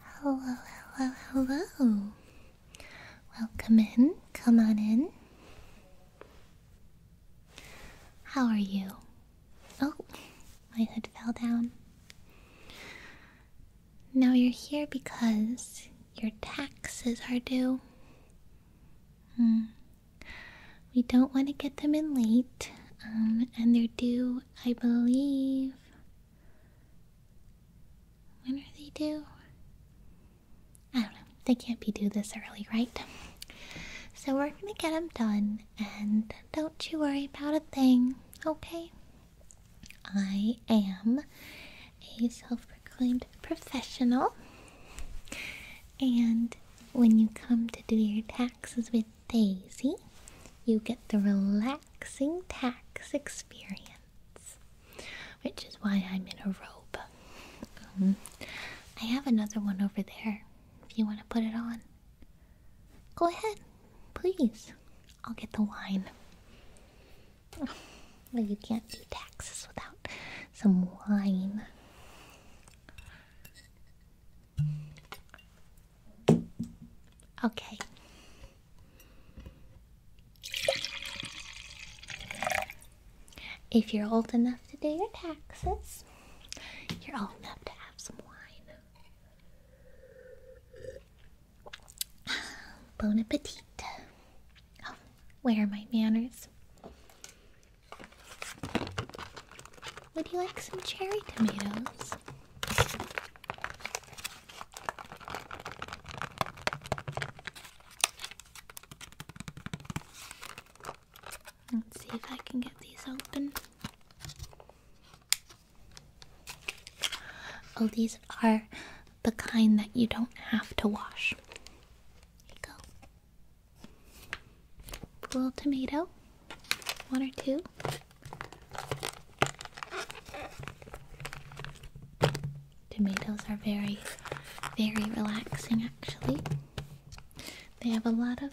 Hello, hello, hello. Welcome in. Come on in. How are you? Oh, my hood fell down. Now you're here because your taxes are due. Hmm. We don't want to get them in late, um, and they're due, I believe, when are they due? I don't know. They can't be due this early, right? So we're gonna get them done, and don't you worry about a thing, okay? I am a self proclaimed professional, and when you come to do your taxes with Daisy, you get the relaxed relaxing tax experience, which is why I'm in a robe. Um, I have another one over there if you want to put it on. Go ahead, please. I'll get the wine. Oh, you can't do taxes without some wine. Okay. If you're old enough to do your taxes, you're old enough to have some wine. Bon appetit. Oh, where are my manners? Would you like some cherry tomatoes? Let's see if I can get these open. Oh, these are the kind that you don't have to wash. Here you go. Little tomato, one or two. Tomatoes are very, very relaxing actually. They have a lot of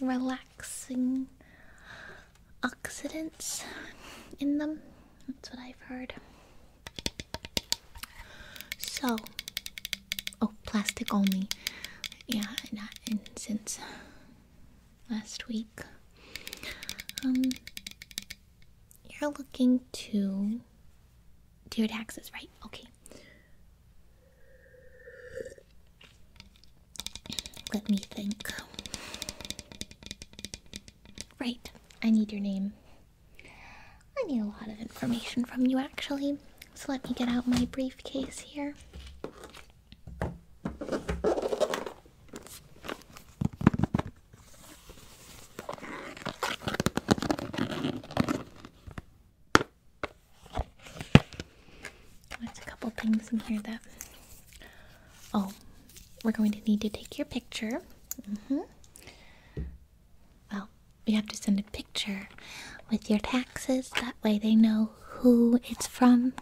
relaxing oxidants in them. That's what I've heard. So, oh, plastic only. Yeah, and since last week. Um, you're looking to do your taxes, right? Okay. Let me think. Right, I need your name. I need a lot of information from you actually, so let me get out my briefcase here. There's a couple things in here that. Oh, we're going to need to take your picture. Mm-hmm. Well, we have to send a picture with your taxes. That way they know who it's from.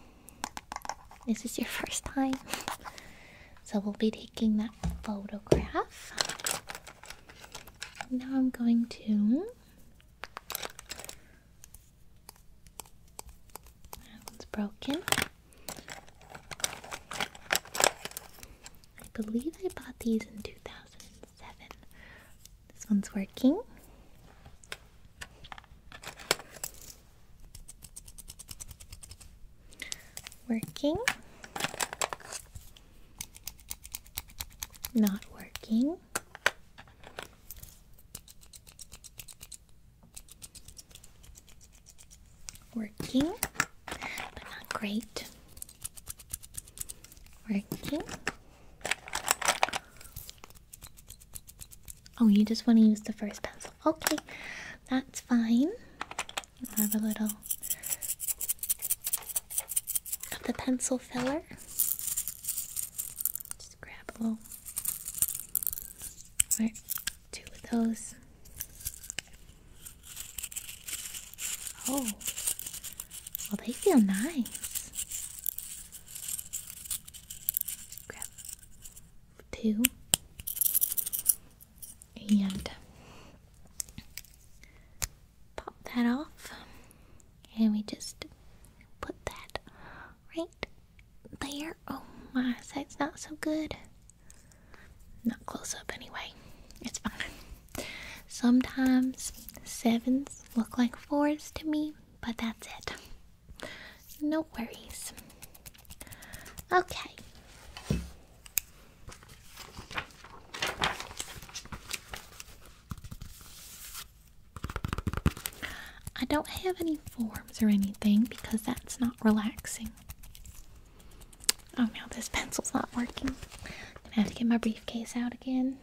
This Is your first time? so we'll be taking that photograph. Now I'm going to. That one's broken. I believe I bought these in 2007. This one's working. Working, not working, working, but not great, working, Oh, you just want to use the first pencil. Okay, that's fine. Have a little of the pencil filler. Just grab a little. Right, two of those. Oh, well, they feel nice grab two and pop that off and we just put that right there. Oh my sight's not so good. Not close up anyway. It's fine. Sometimes sevens look like fours to me, but that's it. No worries. Okay. I don't have any forms or anything because that's not relaxing. Oh now this pencil's not working. I'm gonna have to get my briefcase out again.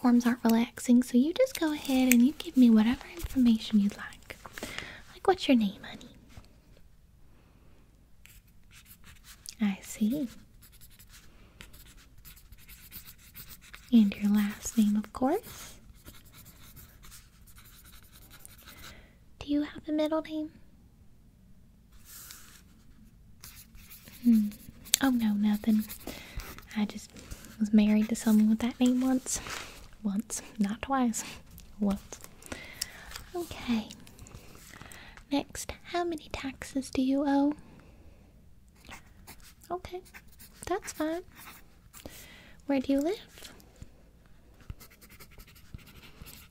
Forms aren't relaxing, so you just go ahead and you give me whatever information you'd like. Like, what's your name, honey? I see. And your last name, of course. Do you have a middle name? Hmm. Oh no, nothing. I just was married to someone with that name once. Once, not twice. Once. Okay. Next, how many taxes do you owe? Okay, that's fine. Where do you live?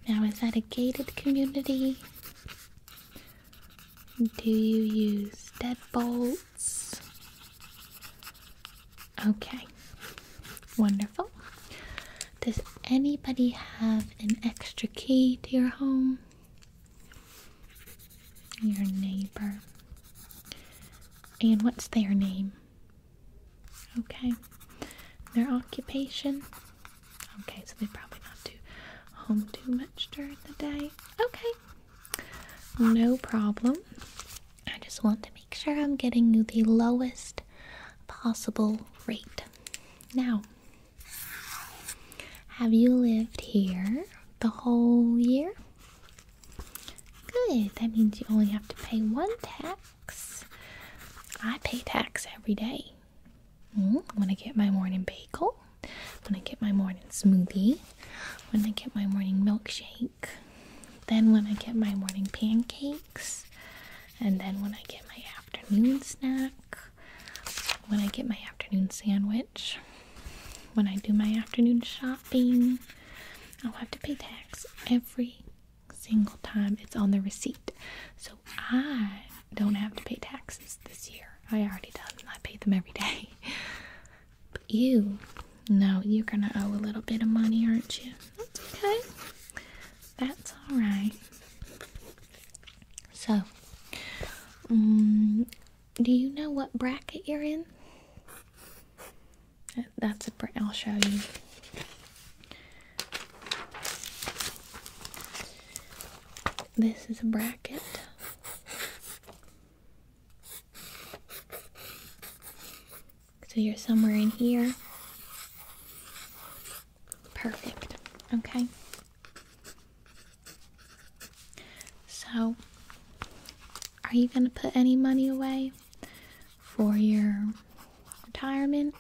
Now, is that a gated community? Do you use deadbolts? Okay, wonderful. Does anybody have an extra key to your home? Your neighbor. And what's their name? Okay. Their occupation? Okay, so they probably not do home too much during the day. Okay, no problem. I just want to make sure I'm getting you the lowest possible rate. Now, have you lived here the whole year? Good, that means you only have to pay one tax. I pay tax every day. I'm mm, gonna get my morning bagel. I'm gonna get my morning smoothie. I'm gonna get my morning milkshake. Then when I get my morning pancakes, and then when I get my afternoon snack, when I get my afternoon sandwich, when I do my afternoon shopping, I'll have to pay tax every single time it's on the receipt. So I don't have to pay taxes this year. I already do; I pay them every day. But you, no, you're gonna owe a little bit of money, aren't you? That's okay. That's all right. So, mm, do you know what bracket you're in? That's a. will show you. This is a bracket. So you're somewhere in here. Perfect. Okay. So, are you going to put any money away? for your retirement.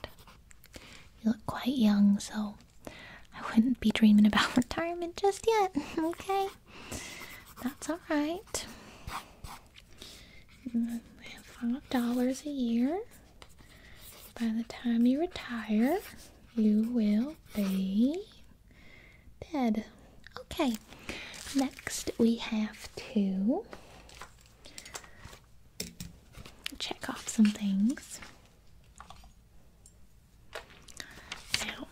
You look quite young, so I wouldn't be dreaming about retirement just yet, okay? That's alright. Five dollars a year. By the time you retire, you will be dead. Okay, next we have to check off some things. Now,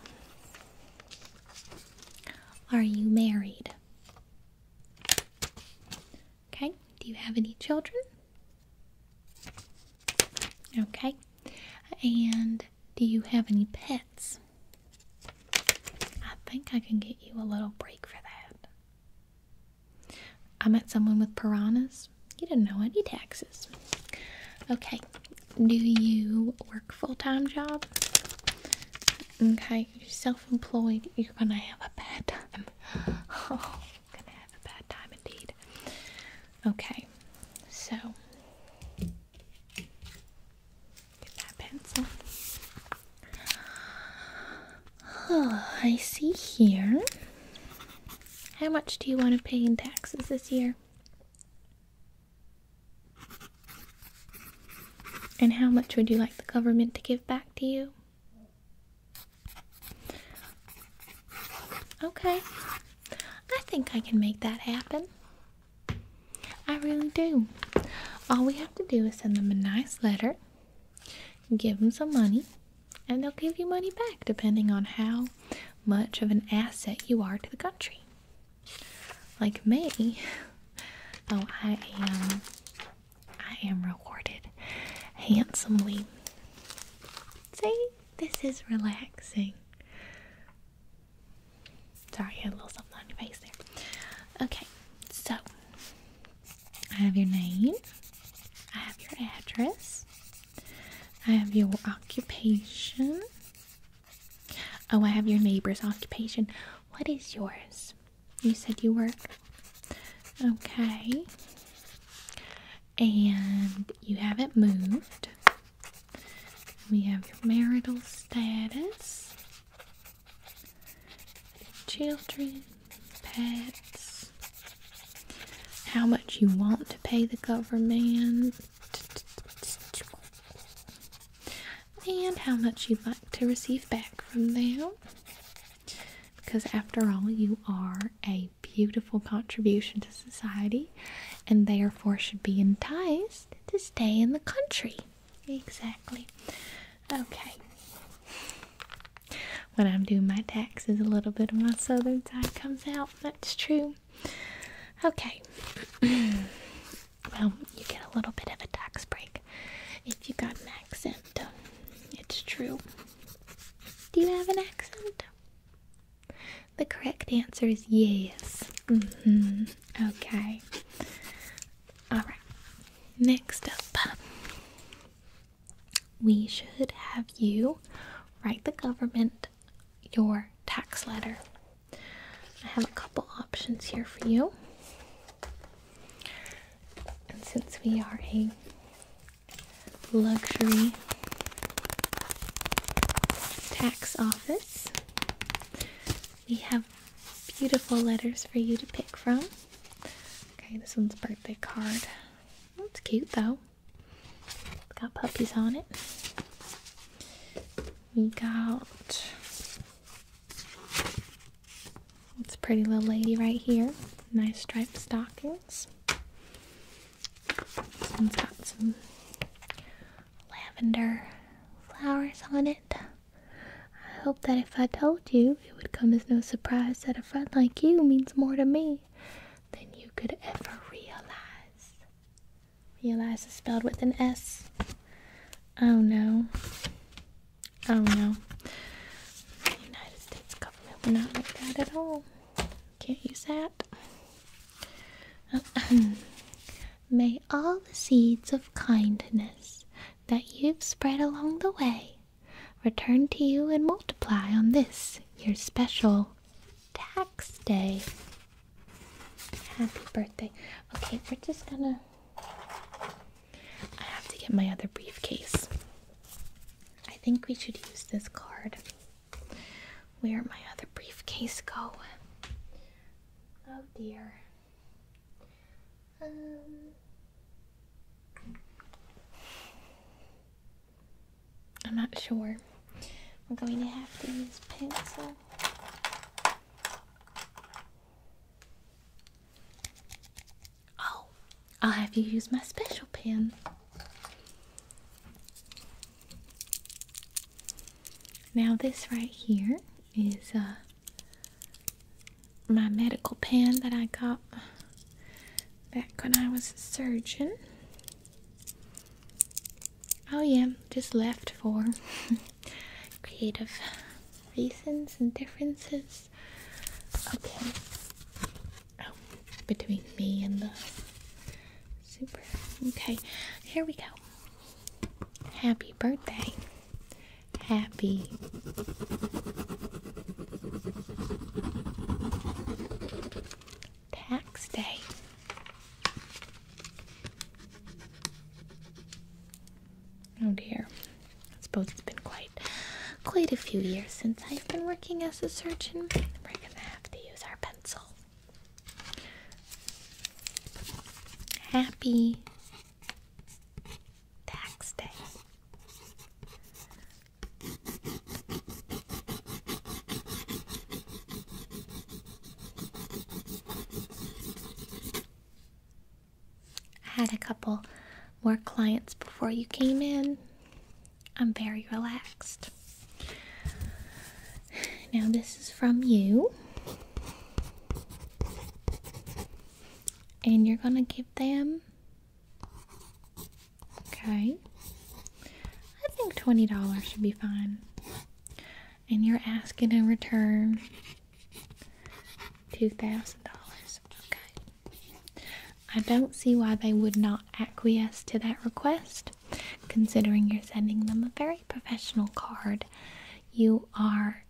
are you married? Okay, do you have any children? Okay, and do you have any pets? I think I can get you a little break for that. I met someone with piranhas. You didn't know any taxes. Okay, do you work full-time job? Okay, you're self-employed. You're gonna have a bad time. Oh, gonna have a bad time indeed. Okay, so get that pencil. I see here. How much do you want to pay in taxes this year? And how much would you like the government to give back to you? Okay. I think I can make that happen. I really do. All we have to do is send them a nice letter Give them some money, and they'll give you money back depending on how much of an asset you are to the country. Like me, oh, I am, I am rewarded handsomely. See, this is relaxing. Sorry, you had a little something on your face there. Okay, so I have your name. I have your address. I have your occupation. Oh, I have your neighbor's occupation. What is yours? You said you work. Okay. And you haven't moved. We have your marital status children, pets, how much you want to pay the government, and how much you'd like to receive back from them. Because after all, you are a beautiful contribution to society and therefore should be enticed to stay in the country. Exactly. Okay. When I'm doing my taxes, a little bit of my southern side comes out. That's true. Okay. well, you get a little bit of a tax break if you got an accent. It's true. Do you have an accent? The correct answer is yes. Mm-hmm. Okay. Alright, next up, we should have you write the government your tax letter. I have a couple options here for you. And since we are a luxury tax office, we have beautiful letters for you to pick from. Okay, this one's birthday card. It's cute though. got puppies on it. We got this pretty little lady right here. Nice striped stockings. This one's got some lavender flowers on it. I hope that if I told you, it would come as no surprise that a friend like you means more to me than you could ever realize. Realize is spelled with an S. Oh no. Oh no. The United States government would not like that at all. Can't use that. May all the seeds of kindness that you've spread along the way return to you and multiply on this, your special tax day. Happy birthday. Okay, we're just gonna. I have to get my other briefcase. I think we should use this card. Where my other briefcase go? Oh dear. Um, I'm not sure. We're going to have to use pencil. Oh, I'll have you use my special pen. Now this right here is a. Uh, my medical pen that I got back when I was a surgeon. Oh, yeah, just left for creative reasons and differences. Okay. Oh, between me and the super. Okay, here we go. Happy birthday happy. Tax day. Oh dear. I suppose it's been quite quite a few years since I've been working as a surgeon. We're gonna have to use our pencil. Happy tax day. I had a couple more clients before you came in. I'm very relaxed. Now, this is from you and you're gonna give them okay i think $20 should be fine and you're asking in return $2000 okay i don't see why they would not acquiesce to that request considering you're sending them a very professional card you are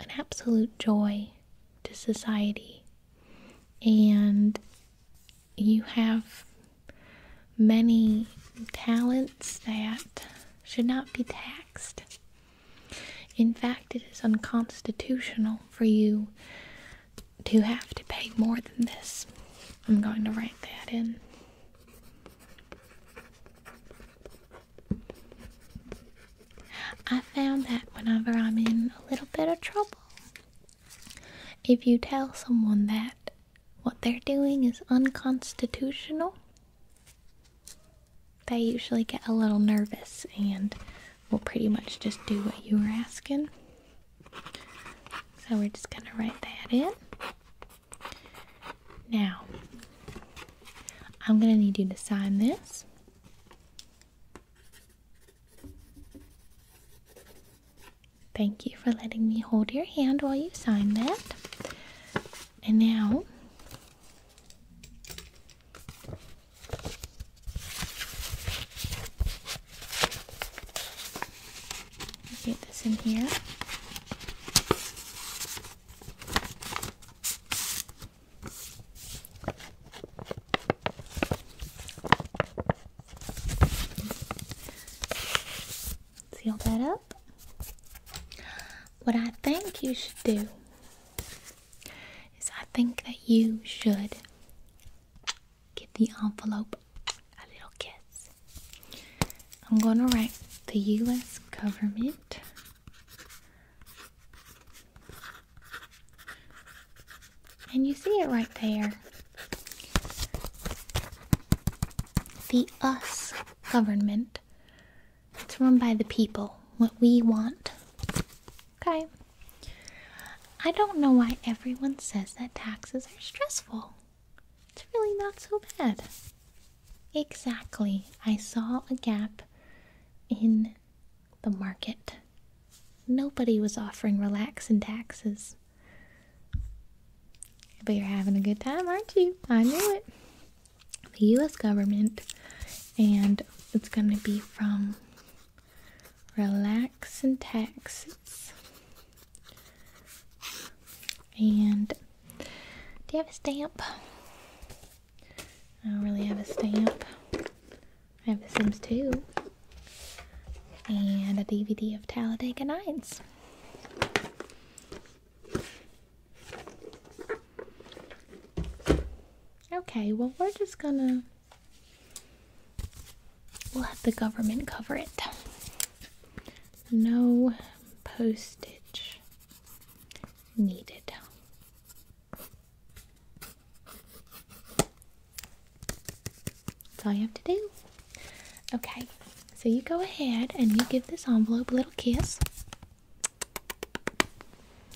an absolute joy to society. And you have many talents that should not be taxed. In fact, it is unconstitutional for you to have to pay more than this. I'm going to write that in. I found that whenever I'm in a little bit of trouble, if you tell someone that what they're doing is unconstitutional, they usually get a little nervous and will pretty much just do what you were asking. So we're just going to write that in. Now, I'm going to need you to sign this. Thank you for letting me hold your hand while you sign that. And now, get this in here. Seal that up. What I think you should do is I think that you should give the envelope a little kiss. I'm going to write the U.S. government and you see it right there. The us government. It's run by the people, what we want. Okay. I don't know why everyone says that taxes are stressful. It's really not so bad. Exactly. I saw a gap in the market. Nobody was offering relax taxes. But you're having a good time, aren't you? I knew it. The US government, and it's going to be from relax taxes. And do you have a stamp? I don't really have a stamp. I have The Sims 2 and a DVD of Talladega Nights. Okay, well, we're just gonna. We'll have the government cover it. No postage needed. That's all you have to do. Okay, so you go ahead and you give this envelope a little kiss.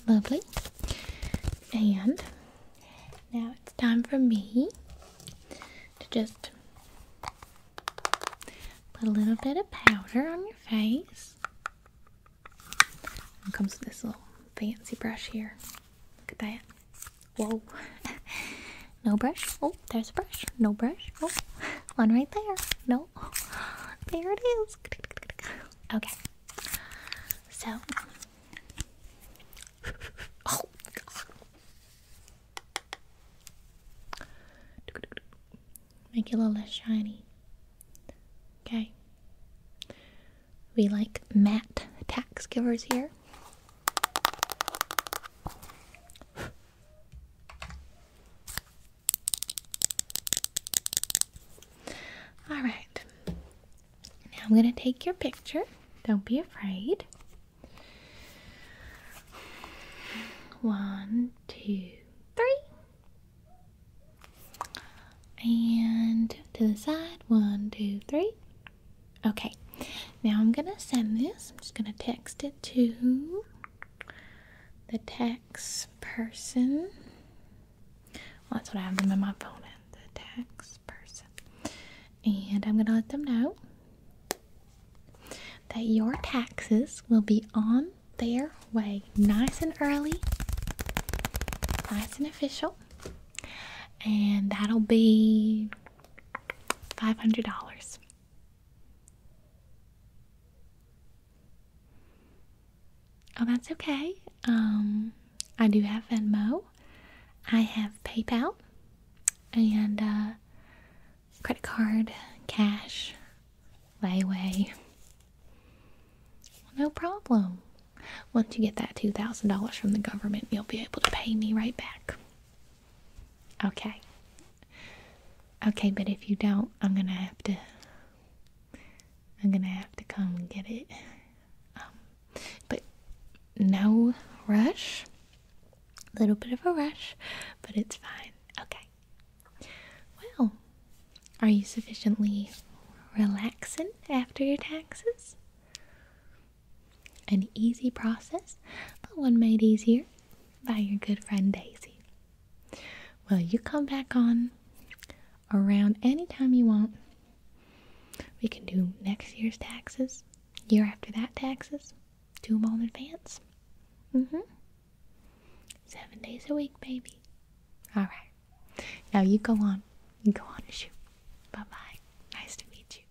Lovely. And now it's time for me to just Put a little bit of powder on your face. And comes with this little fancy brush here. Look at that. Whoa. no brush. Oh, there's a brush. No brush. Oh, one right there. No. There it is. Okay. So. Oh. Make it a little less shiny. Okay. We like matte tax givers here. All right. Now I'm going to take your picture. Don't be afraid. One, two, three. And to the side, one, two, three. Okay, now I'm gonna send this. I'm just gonna text it to the tax person. that's what I have them in my phone And the tax person. And I'm gonna let them know that your taxes will be on their way nice and early, nice and official, and that'll be $500. Oh, that's okay. Um, I do have Venmo, I have PayPal, and uh, credit card, cash, layaway. No problem. Once you get that $2,000 from the government, you'll be able to pay me right back. Okay. Okay, but if you don't, I'm gonna have to. I'm gonna have to come and get it. Um, but no rush. A little bit of a rush, but it's fine. Okay. Well, are you sufficiently relaxing after your taxes? An easy process, but one made easier by your good friend Daisy. Well, you come back on around any time you want. We can do next year's taxes, year after that taxes, do them all in advance. Mm hmm. Seven days a week, baby. Alright. Now you go on. You go on and shoot. Bye bye. Nice to meet you.